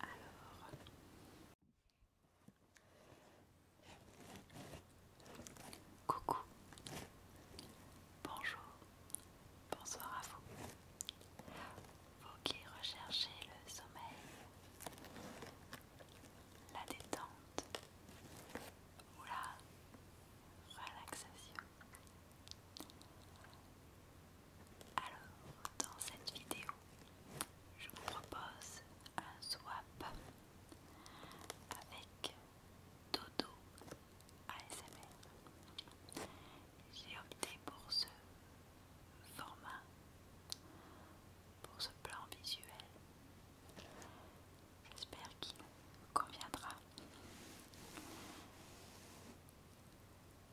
Alors, coucou, bonjour, bonsoir à vous. Vous qui recherchez le sommeil, la détente, voilà, relaxation. Alors, dans cette vidéo, je vous propose un swap avec Dodo ASMR. J'ai opté pour ce format, pour ce plan visuel, J'espère qu'il vous conviendra.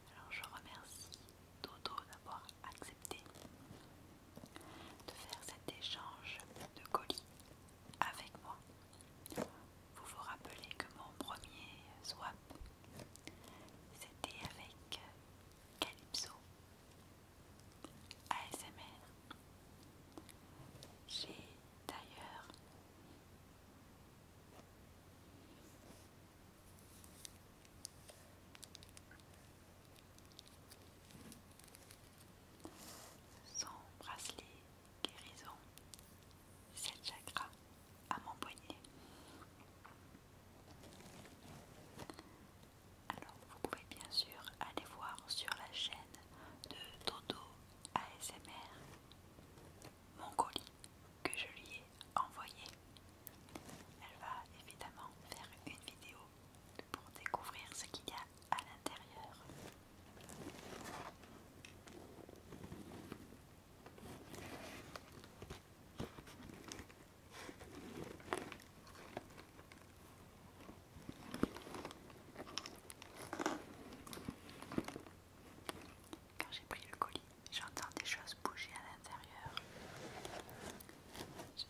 Alors je remercie Dodo d'avoir accepté de faire cet échange de colis avec moi. Vous vous rappelez que mon premier swap c'était avec Calypso ASMR. J'ai d'ailleurs son bracelet guérison 7 chakras à mon poignet. Alors vous pouvez bien sûr aller voir sur la chaîne de Toto ASMR mon colis que je lui ai envoyé. Elle va évidemment faire une vidéo pour découvrir ce qu'il y a à l'intérieur. Quand j'ai pris le colis, j'entends des choses bouger à l'intérieur.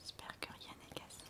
J'espère que rien n'est cassé.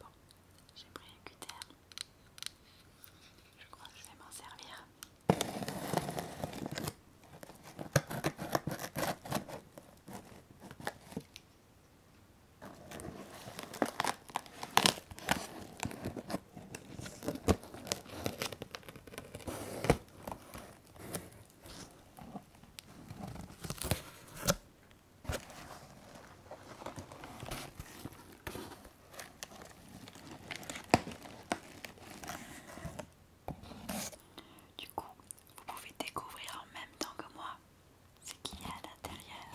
Bon, j'ai pris un cutter. Je crois que je vais m'en servir. Du coup, vous pouvez découvrir en même temps que moi ce qu'il y a à l'intérieur.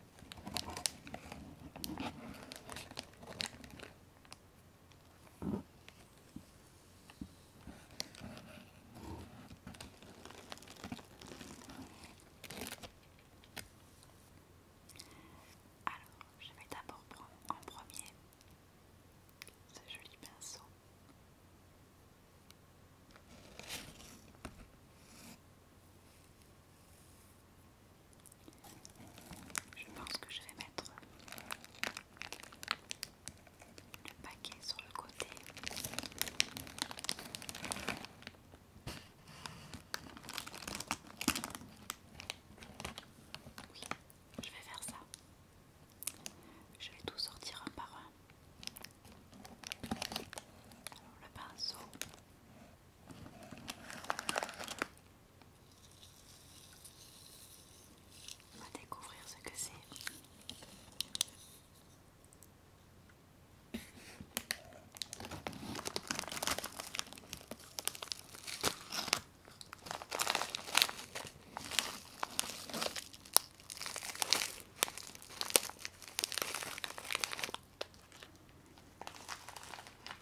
Alors, je vais d'abord prendre en premier ce joli pinceau. Je pense que je vais mettre le paquet sur le côté. Oui, je vais faire ça. Je vais tout sortir un par un. Alors, le pinceau. On va découvrir ce que c'est.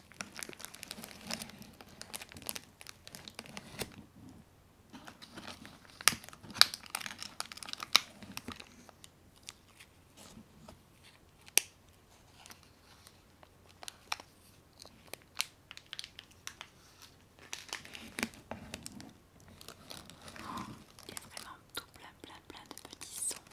Il y a vraiment tout plein plein plein de petits sons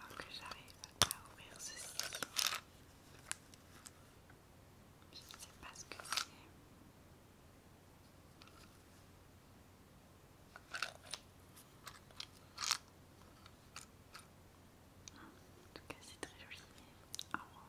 Avant que j'arrive à ouvrir ceci, je ne sais pas ce que c'est. En tout cas, c'est très joli. Au ah, revoir.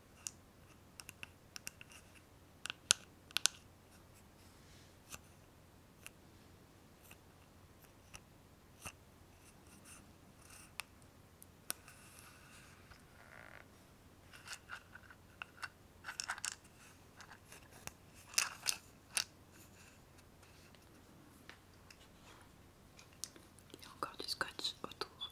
Il y a encore du scotch autour.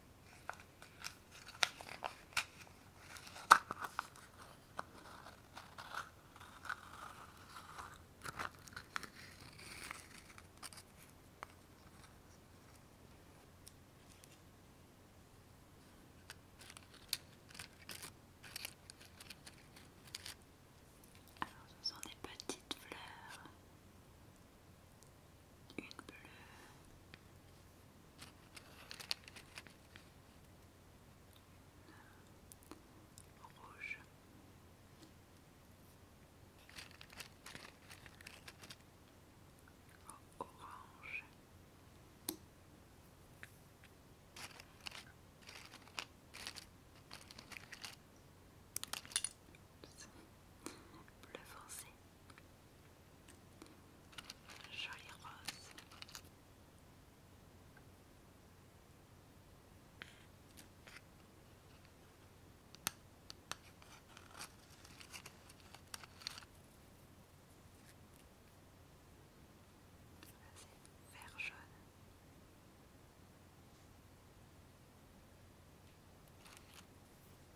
Alors ce sont des petites fleurs une bleue. Une rouge. Orange bleu foncé, joli rose. Vert jaune.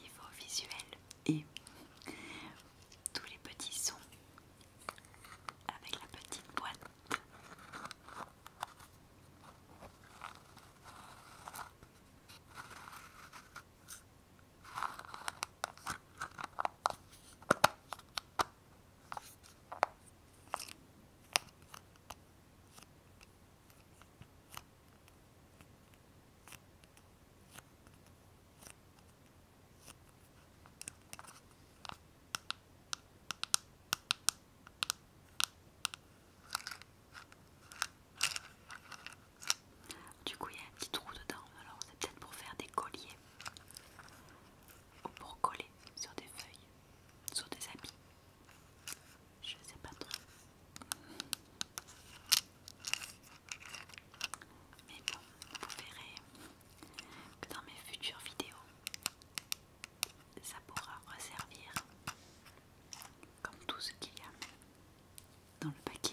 Niveau visuel et tous les petits sons avec la petite boîte. Du coup, il y a un petit trou dedans, alors c'est peut-être pour faire des colliers ou pour coller sur des feuilles sont des amis, Je sais pas trop. Mais bon, vous verrez que dans mes futures vidéos, ça pourra resservir comme tout ce qu'il y a dans le paquet.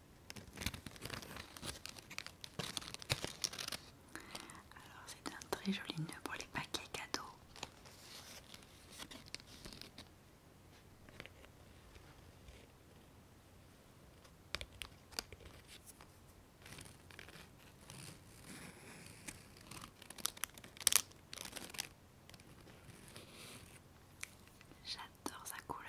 Alors c'est un très joli nœud pour les paquets cadeaux. J'adore sa couleur.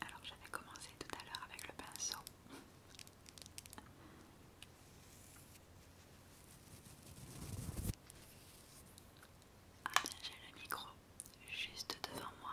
Alors j'avais commencé tout à l'heure avec le pinceau. Ah j'ai le micro juste devant moi.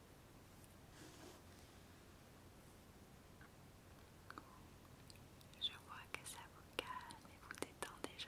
Je vois que ça vous calme et vous détend déjà.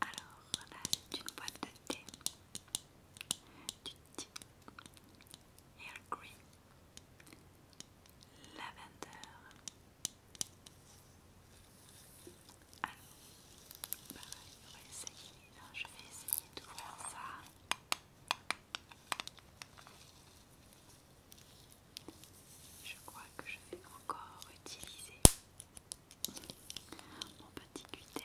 Alors là c'est une boîte de thé du thé Earl Green Lavender alors, essayer. Là, je vais essayer d'ouvrir ça. Je crois que je vais encore utiliser mon petit cutter.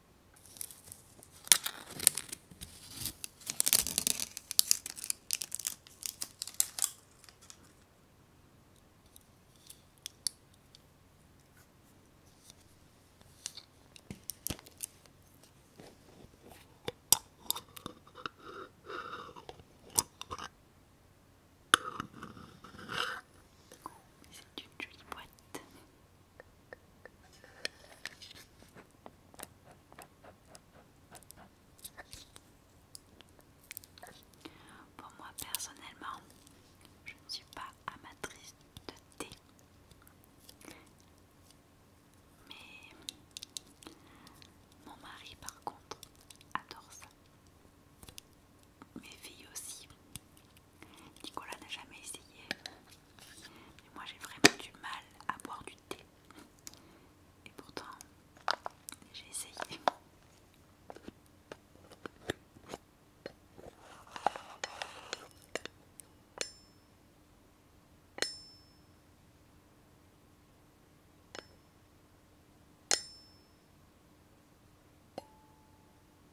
C'est une jolie boîte. Pour moi personnellement, je ne suis pas amatrice de thé. Mais mon mari par contre adore ça. Mes filles aussi. Nicolas n'a jamais essayé. Mais moi j'ai vraiment du mal à boire du thé. Et pourtant, j'ai essayé.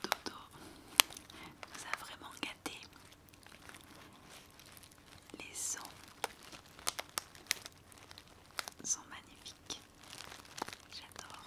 Toto, ça a vraiment gâté les sons sont magnifiques j'adore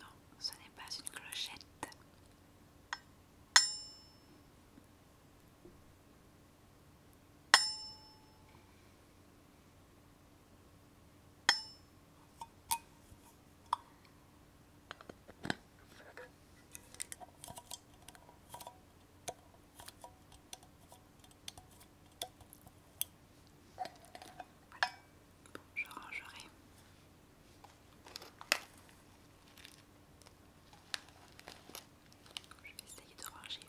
Non, ce n'est pas une clochette je rangerai. Je vais essayer de ranger.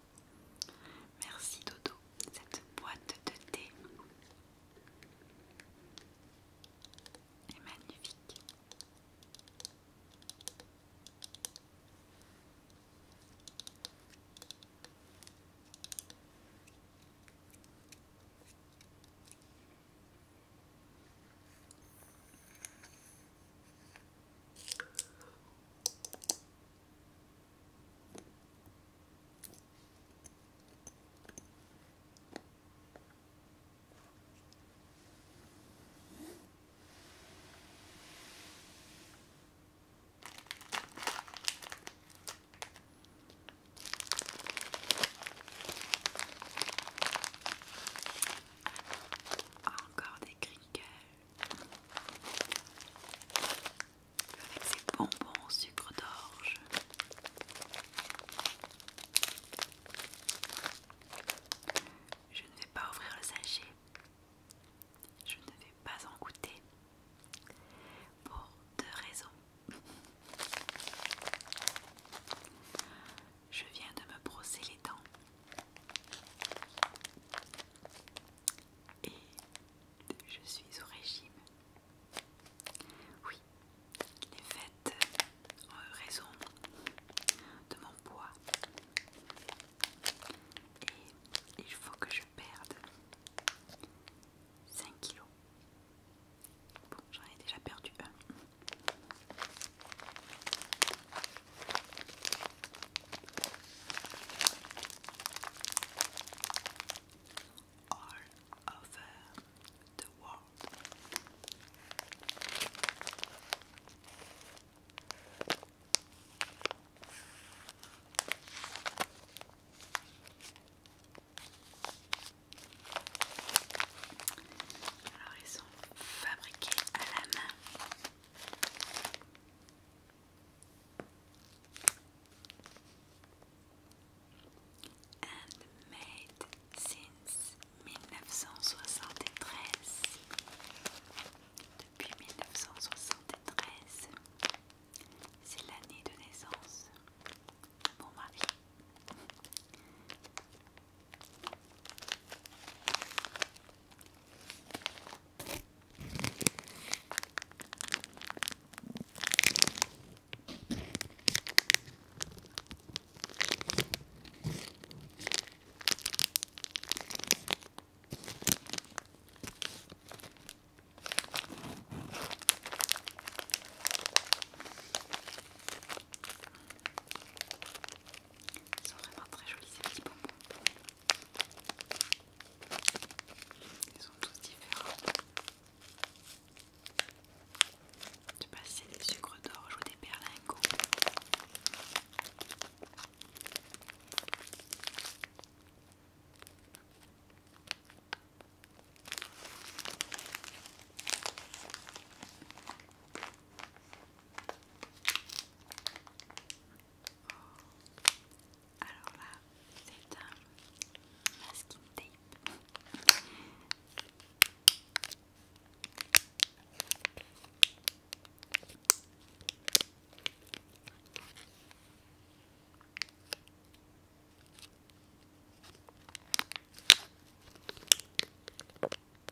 Merci Dodo, cette boîte de thé est magnifique. Encore des cris avec ces bonbons sucre d'orge. Je ne vais pas ouvrir le sachet. Je ne vais pas en goûter pour deux raisons. Je viens de me brosser les dents et je suis au régime. Oui, les fêtes en raison de mon poids. Et il faut que je perde 5 kilos. Bon, j'en ai déjà perdu un. all over uh, the world. Alors ils sont fabriqués à and made since 1973 depuis 1973 c'est l'année de naissance de mon mari ils sont vraiment très jolis ces petits bonbons. Ils sont tous différents. Je sais pas si d'or, des sucres d'orge ou des berlingots. Alors là, c'est un masking tape.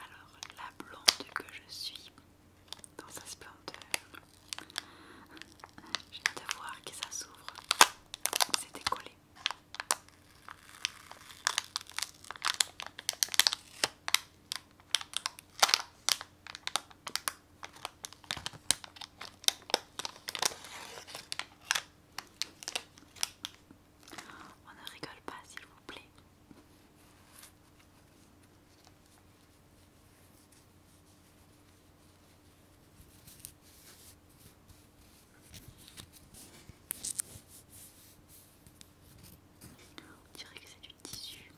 Alors la blonde que je suis dans sa splendeur, je viens de voir que ça s'ouvre, c'est décollé. On ne rigole pas, s'il vous plaît. On dirait que c'est du tissu.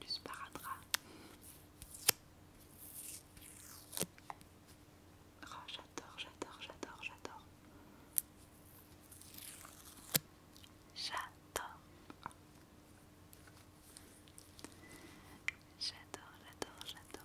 Du sparadrap. Ah, j'adore, j'adore, j'adore, j'adore. J'adore. J'adore, j'adore, j'adore. J'adore,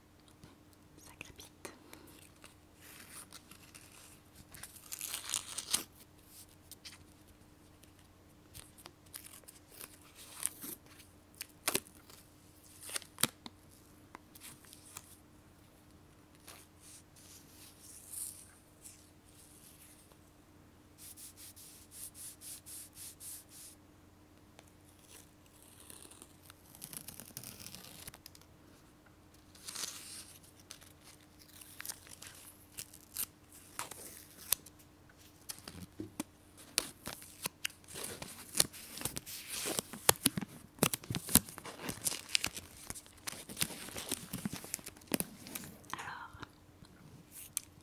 Ça crépite. Alors,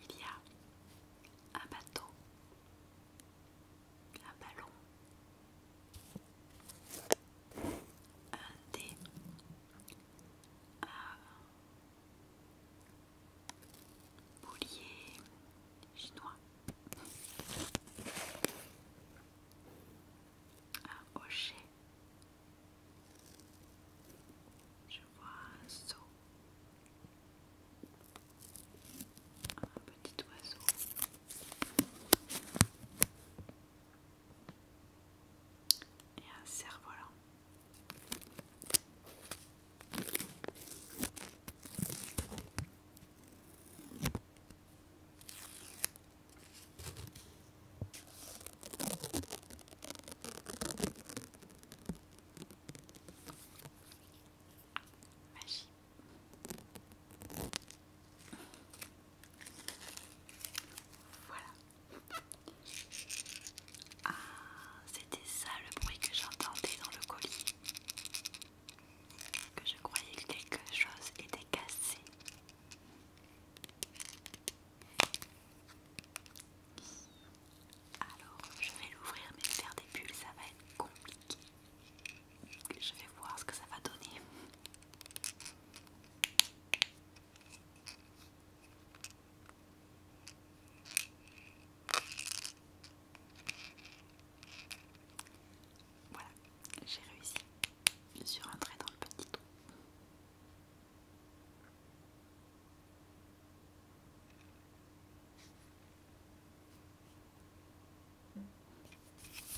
il y a un bateau un ballon, un dé, un boulier chinois, un rocher, Je vois un saut, un petit oiseau, et un cerf-volant. Magie. Voilà. Ah, c'était ça le bruit que j'entendais dans le colis. Que je croyais que quelque chose était cassé. Alors, je vais l'ouvrir, mais faire des bulles, ça va être compliqué. Je vais voir ce que ça va donner. Voilà, j'ai réussi Je suis rentrée dans le petit trou.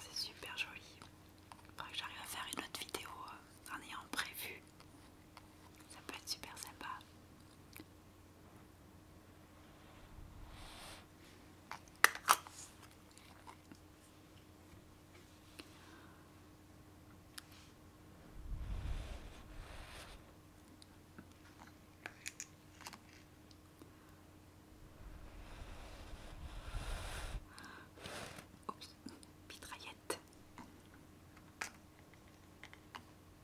C'est super joli. J'arrive à faire une autre vidéo en euh, ayant prévu ça peut être super sympa. Oups, mitraillette.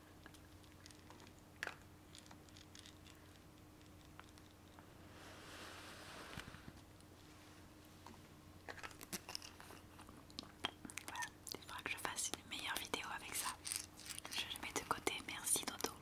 Voilà, il que je fasse une meilleure vidéo avec ça. Je le mets de côté, merci Dodo.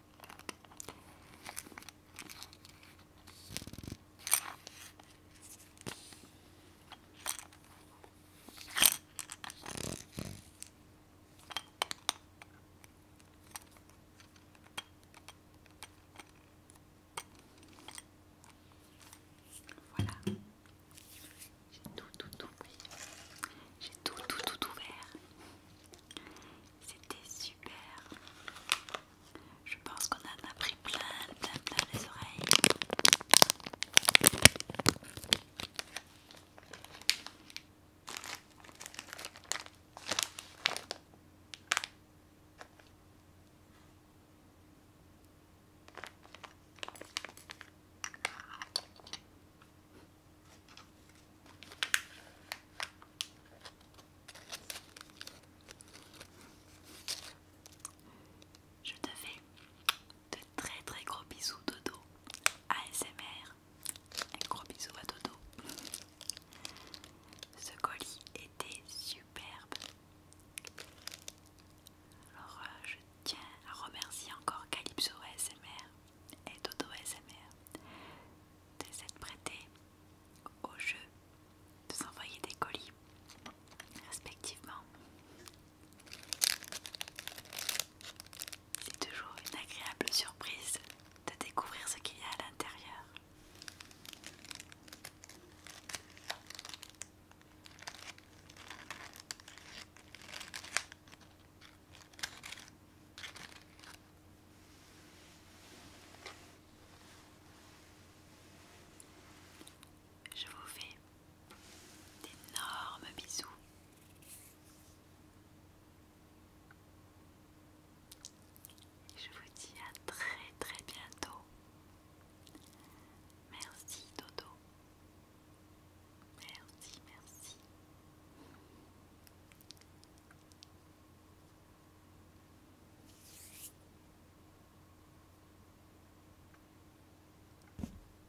Voilà, j'ai tout, tout, tout pris, j'ai tout, tout, tout, ouvert. C'était super. Je pense qu'on en a pris plein, plein, plein les oreilles. Je te fais de très très gros bisous Dodo ASMR un gros bisou à Dodo ce colis était superbe alors euh, je tiens à remercier encore Calypso ASMR et Dodo ASMR de s'être prêté au jeu de s'envoyer des colis respectivement c'est toujours une agréable surprise de découvrir ce qu'il y a à l'intérieur je vous fais d'énormes bisous. Je vous dis à très très bientôt. Merci Dodo. Merci, merci.